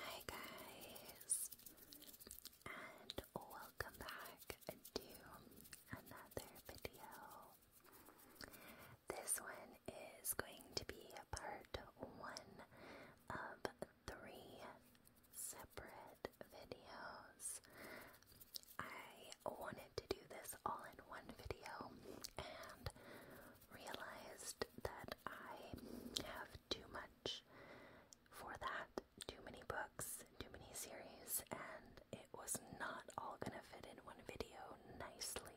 Hi guys, and welcome back to another video. This one is going to be part one of three separate videos. I wanted to do this all in one video, and realized that I have too much for that, too many books, too many series, and it was not all gonna fit in one video nicely.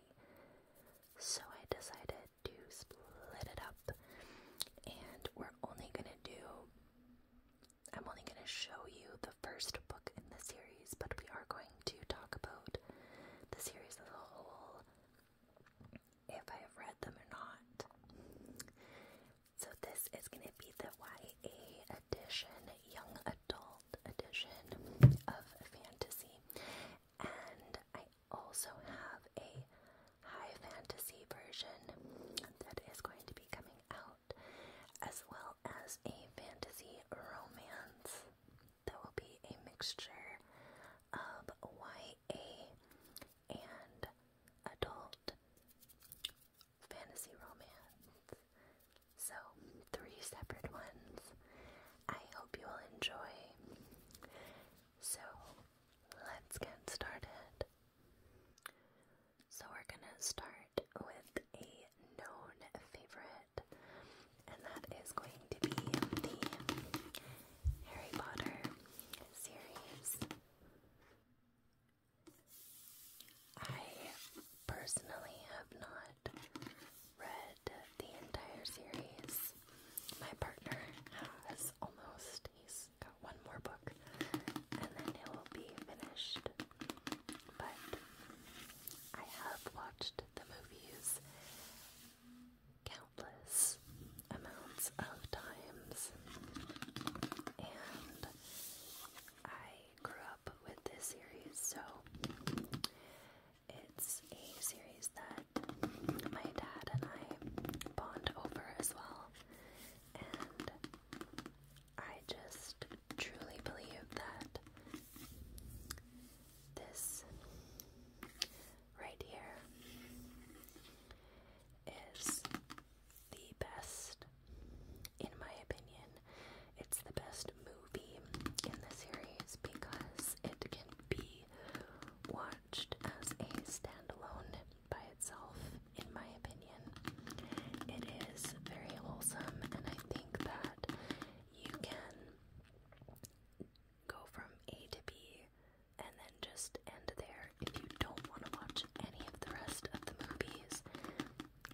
So I decided to split it up, and we're only gonna do. I'm only gonna show you the first book in the series, but we are going to talk about the series as a whole if I have read them or not. So, this is going to be the YA edition, young adult edition of fantasy. And I also have a high fantasy version that is going to be coming out, as well as a fantasy romance that will be a mixture of YA and adult fantasy romance. So, three separate ones. I hope you will enjoy. So, let's get started. So, we're gonna start with a known favorite and that is going to be the Harry Potter series. I personally have not read the entire series. My partner has almost, he's got one more book and then it will be finished. But I have watched the movies countless amounts of times, and I grew up with this series, so it's a series that my dad and I bond over as well, and I just truly believe that this right here is the best, in my opinion, it's the best movie in the series because it can be watched as a standalone by itself, in my opinion. It is very wholesome, and I think that you can go from A to B and then just end there if you don't want to watch any of the rest of the movies.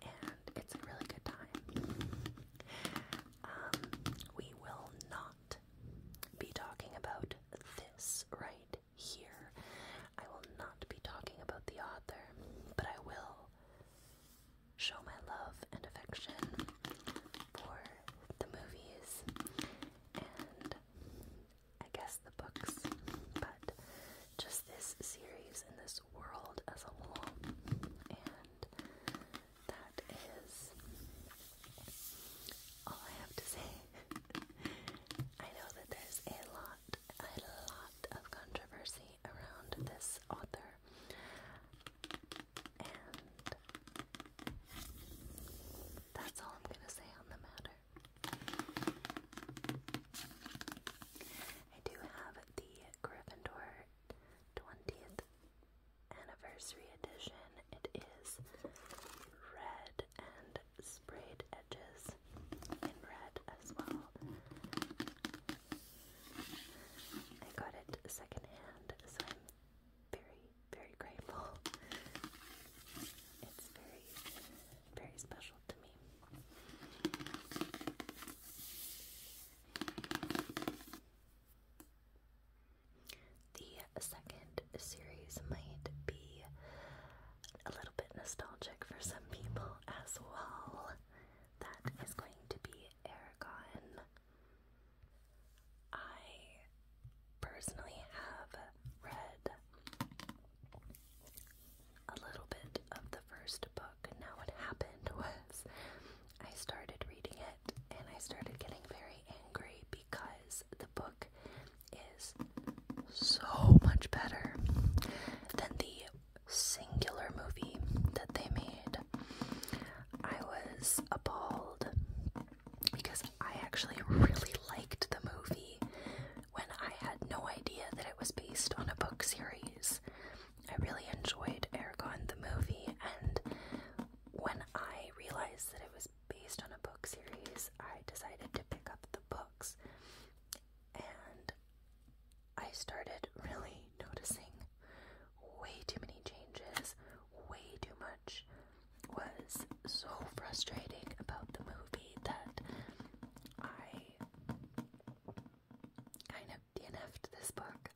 And it's a really good time. Um, we will not be talking about this right here. I will not be talking about the author, but I will show my love and affection for the movies and I guess the books, but just this series and this world as a whole. And that is all I have to say. I know that there's a lot, a lot of controversy around this author. And that's all I'm going to say on the matter. I do have the Gryffindor 20th Anniversary Edition. It is red and sprayed edges in red as well. I got it secondhand, so I'm very, very grateful. It's very, very special to me. The second series might be a little bit nostalgic for some people as well. That is going to be Aragon. I personally have read a little bit of the first book. Now, what happened was I started reading it and I started getting very angry because the book is so much better than the singular movie that they made, I was appalled because I actually really liked the movie when I had no idea that it was based on a book series. I really enjoyed Eragon the movie, and when I realized that it was based on a book series, I decided to pick up the books. And I started really noticing way too many changes, way too much. Was so frustrating about the movie that I kind of DNF'd this book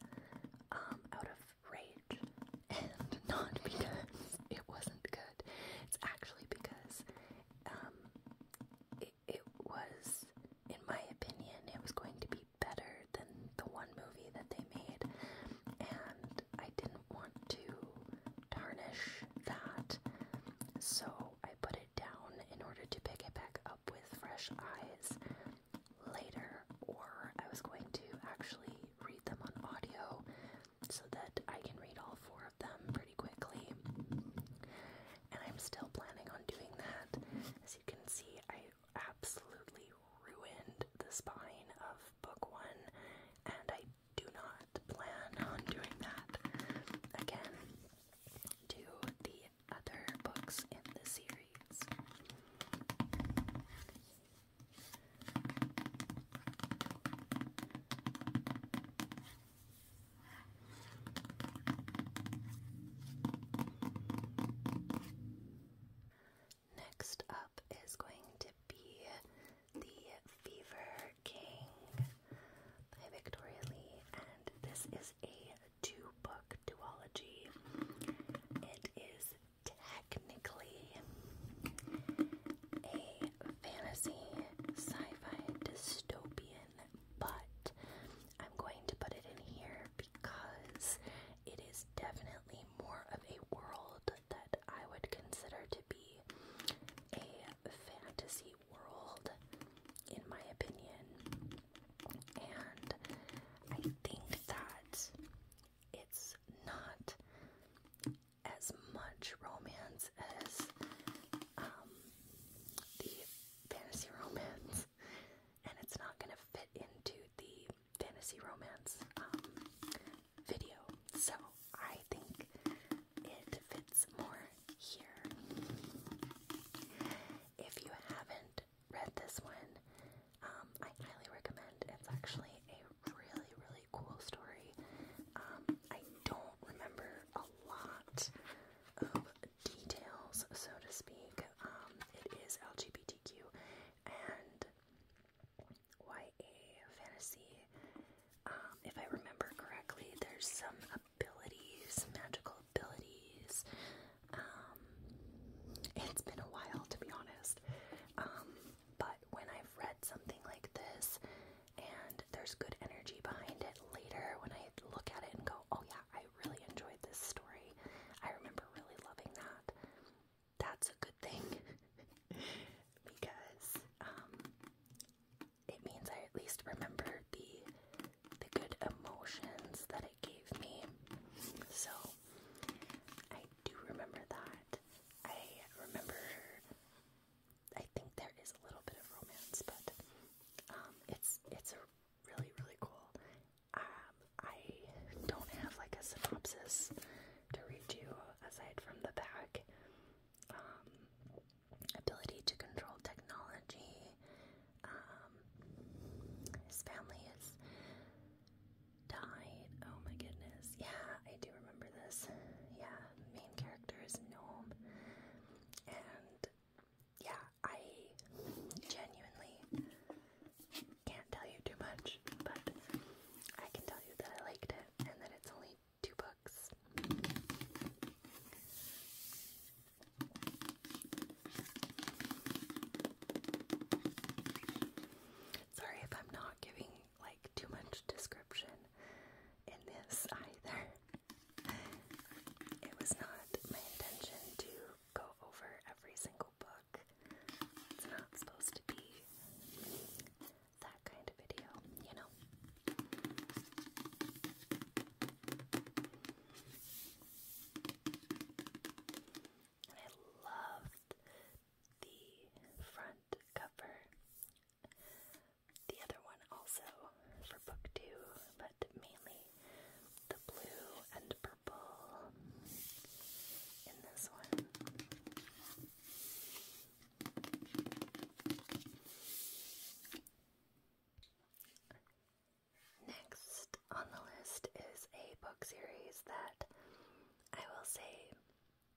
um, out of rage, and not because it wasn't good. It's actually because um, it was, in my opinion, it was going to be better than the one movie that they made, and I didn't want to tarnish that, so I put it down in order to pick it back up with fresh eyes later, or I was going to actually read them on audio so that I can read all four of them pretty quickly and I'm still planning on doing that. As you can see, I absolutely ruined the spine of book one, and I do not plan on doing that again to the other books in the series. Next up is going to be the Fever King by Victoria Lee, and this is a two book duology. It is technically a fantasy sci fi dystopian but I'm going to put it in here because it is definitely more of a world that I would consider to be a fantasy world, in my opinion. And I think that it's not as much romance as um, the fantasy romance, and it's not going to fit into the fantasy romance um, video. So I think it fits more here. If you haven't read this one, um, I highly recommend. It's actually a really, really cool story. Um, I don't remember a lot of details, so to speak. Um, it is LGBTQ and YA fantasy. Um, if I remember correctly, there's some abilities, magical abilities. Um, it's been a while to be honest. but when I've read something like this, and there's good energy behind it later when I look at it and go, oh yeah, I really enjoyed this story. I remember really loving that. That's a good thing because um, it means I at least remember the the good emotions that it gave me. So I do remember that. I remember I think there is a little bit of romance, but um, it's it's a really really cool. Um, I don't have like a synopsis to read you aside from the back. Um, ability to control technology. Um, his family has died. Oh my goodness. Yeah, I do remember this. Yeah, main character is Gnome and yeah, I genuinely can't tell you too much, but I can tell you that I liked it and that it's only two books. Sorry if I'm not giving like too much description in this either. It was not my intention to go over every single book. It's not supposed to be that kind of video, you know. I loved the front cover the other one also for book two, but mainly the blue and purple in this one. Next on the list is a book series that I will say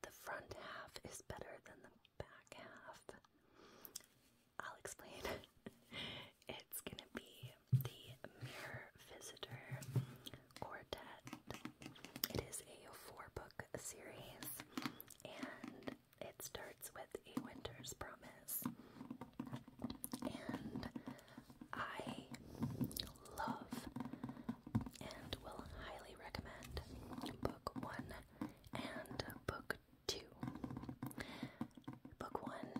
the front half is better than the back half. I'll explain. it's gonna be the Mirror Visitor Quartet. It is a four book series and it starts with A Winter's Promise. And I love and will highly recommend book one and book two. Book one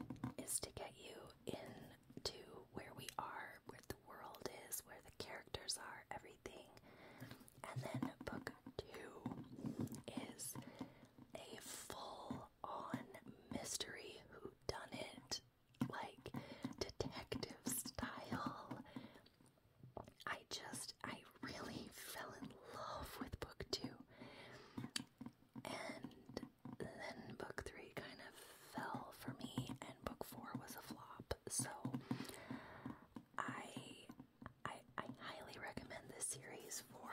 is to get you into where we are, where the world is, where the characters are, everything. And then book two is a full on mystery who done it like detective style I just, I really fell in love with book two. And then book three kind of fell for me, and book four was a flop. So I, I, I highly recommend this series for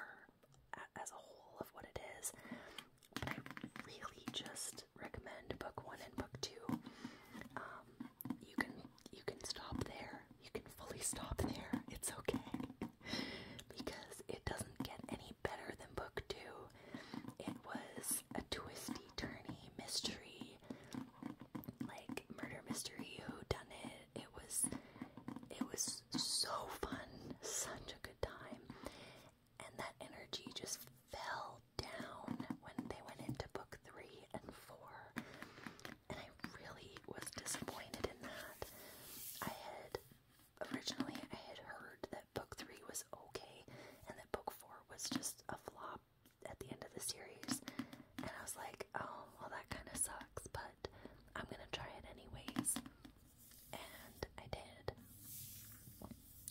as a whole of what it is. But I really just recommend book one and book two. Um, you can you can stop there. You can fully stop there. It's okay. Because it doesn't get any better than book 2. It was a twisty turny mystery like murder mystery who done it. It was it was so fun, such a good time. And that energy just fell down when they went into book 3 and four, and I really was disappointed in that. I had originally I had heard that book three was okay, and that book four was just a flop at the end of the series, and I was like, oh, well, that kind of sucks, but I'm gonna try it anyways, and I did,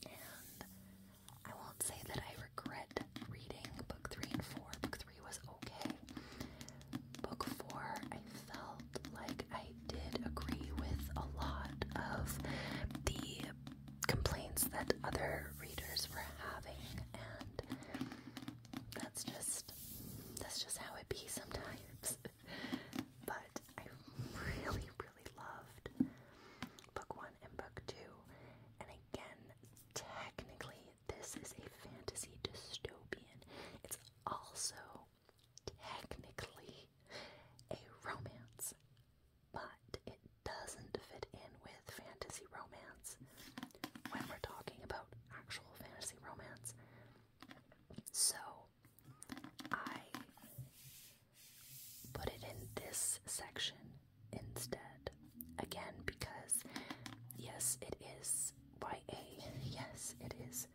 and I won't say that I regret reading book three and four. Book three was okay. Book four, I felt like I did agree with a lot of the complaints that other readers were having, and that's just that's just how it be sometimes. but I really, really loved book one and book two. And again, technically, this is a fantasy dystopian. It's also technically a romance, but it doesn't fit in with fantasy romance when we're talking about actual fantasy romance. So, I put it in this section instead. Again, because yes, it is YA. Yes, it is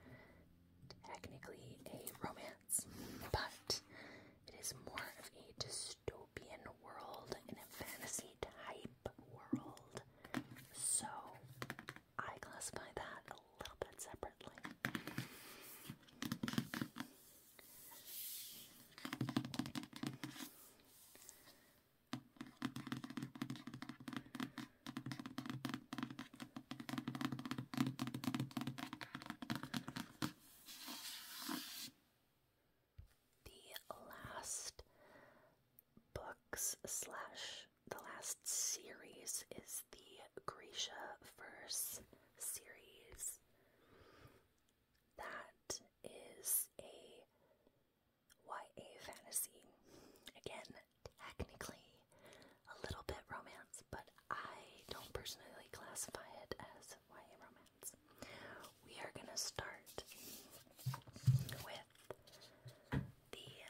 technically a romance, but it is more of a dystopian world and a fantasy type world. So I classify that a little bit separately. The last books slash the last series is the Grisha Verse series. That is a YA fantasy. Again, technically a little bit romance, but I don't personally classify it as YA romance. We are going to start with The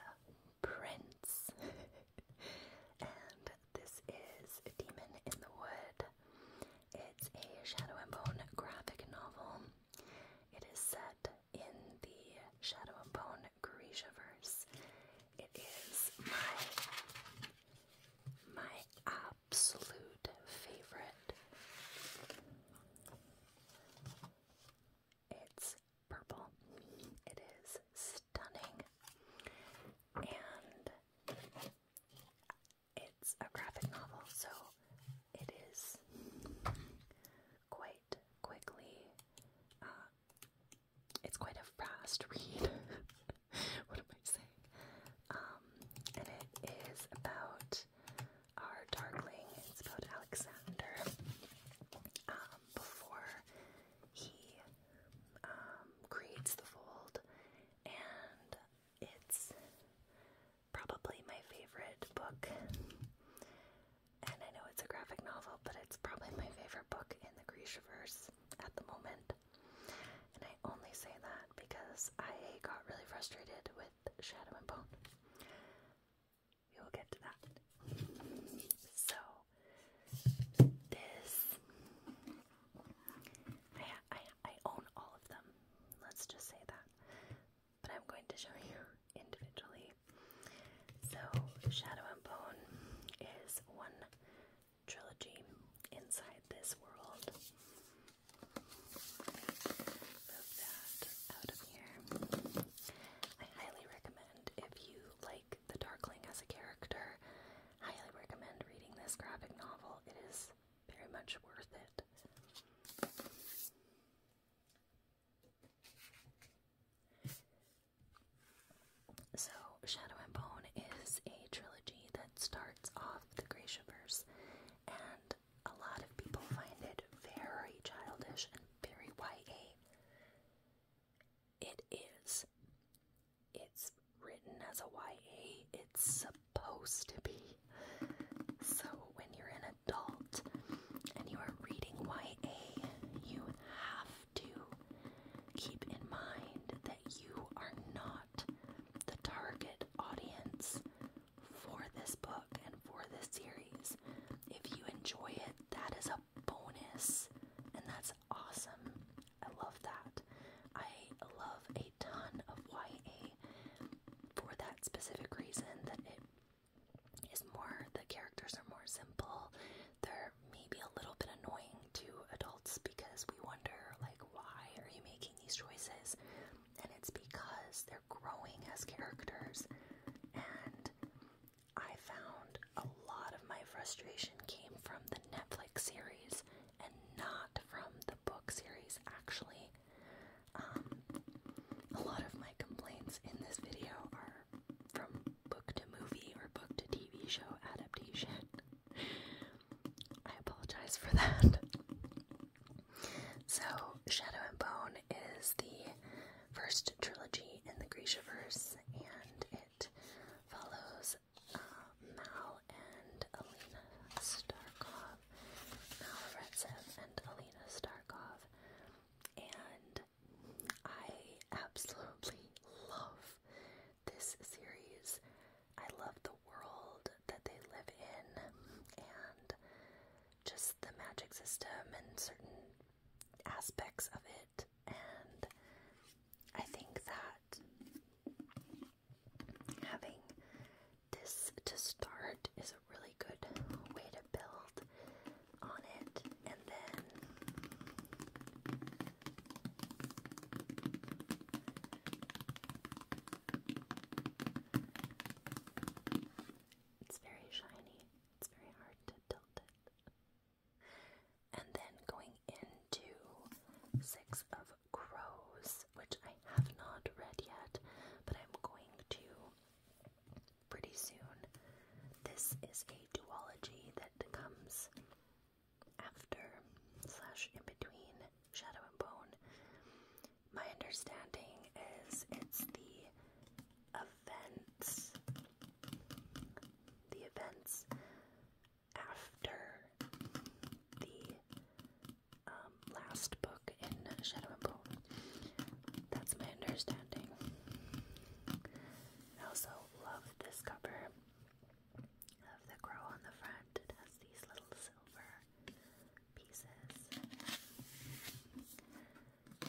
Prince. and this is Demon in the Wood it's a Shadow and Bone graphic novel. It is set in the Shadow and Bone Grishaverse. It is my my absolute favorite. It's purple. It is stunning. And it's a graphic novel, so it is quite quickly. Uh, it's quite a fast read. what am I saying? Um, and it is about our darkling. It's about Alexander. Um, before he um, creates the fold and it's probably my favorite book. And I know it's a graphic novel, but it's probably my favorite book in the Grishaverse at the moment. And I only say that because I got really frustrated with Shadow and Bone. We will get to that. So, this I I, own all of them. Let's just say that. But I'm going to show you individually. So, Shadow and Bone is one trilogy inside this world. I highly recommend if you like the Darkling as a character Highly recommend reading this graphic novel. It is very much worth it. So, Shadow and Bone is a trilogy that starts off the Grishaverse, and a lot of people find it very childish and very YA. It is it's written as a YA. It's supposed to be. So when you're an adult and you are reading YA, you have to keep in mind that you are not the target audience for this book and for this series. If you enjoy it, that is a bonus and that's awesome. I love that. I love a ton of YA for that specific reason that it is more, the characters are more simple. They're maybe a little bit annoying to adults because we wonder, like, why are you making these choices? And it's because they're growing as characters. And I found a lot of my frustration came from the Netflix series and not from the book series, actually. Um, a lot of my complaints in this video are from book to movie or book to TV show adaptation. I apologize for that. So, Shadow and Bone is the first trilogy in the Grishaverse, and it follows Mal and Alina Starkov, Mal and Alina Starkov, and I absolutely love this series. I love the world that they live in and just the magic system and certain aspects of it, and I think that having this to start is a really good way to build on it and then it's very shiny. It's very hard to tilt it. And then going into Six of Crows, which I have not read yet, but I'm going to pretty soon. This is a duology that comes after slash in between Shadow and Bone. My understanding is it's the events the events after the um, last book in Shadow and Bone. That's my understanding. I also love this cover of the crow on the front. It has these little silver pieces.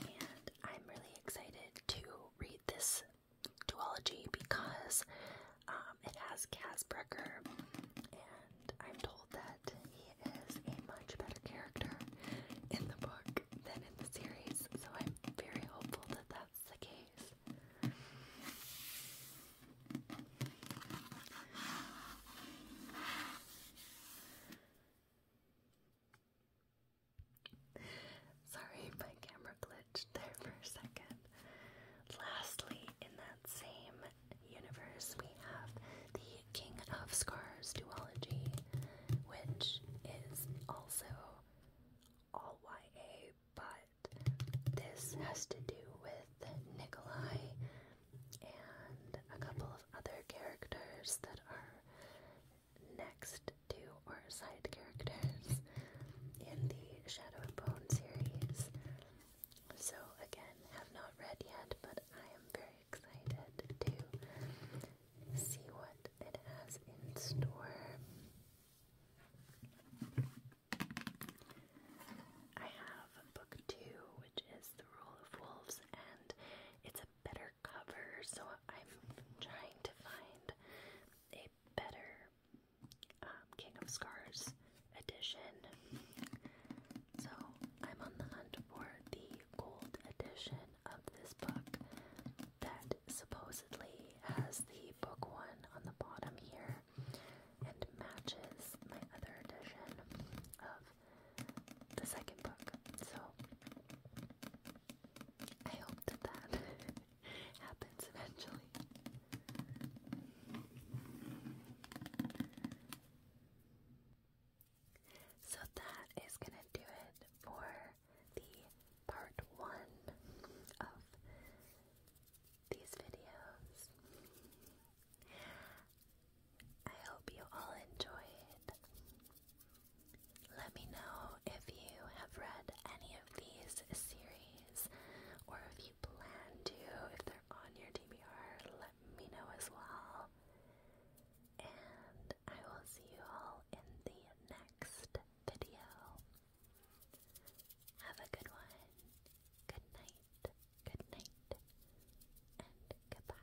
And I'm really excited to read this duology because um, it has Casper, and I'm told that he is a much better character in the book than in the series, so I'm very hopeful that that's the case. Sorry, my camera glitched there for a second. Lastly, in that same universe, we have the King of Scars duology, which is also all YA, but this has to do with Nikolai and a couple of other characters that are next to or side characters in the Shadow and Bone series. So again, have not read yet, but I am very excited to see what it has in store. I have book two, which is The Rule of Wolves, and it's a better cover, so I'm trying to find a better um, King of Scars edition. So I'm on the hunt for the gold edition of this book that supposedly has the book one on the bottom here and matches my other edition of the second book. So I hope that that happens eventually. So that is going to do it for the part one of these videos. I hope you all enjoyed. Let me know if you have read any of these series or if you plan to. If they're on your DBR, let me know as well. And I will see you all in the next video. Have a good one. Good night. Good night. And goodbye.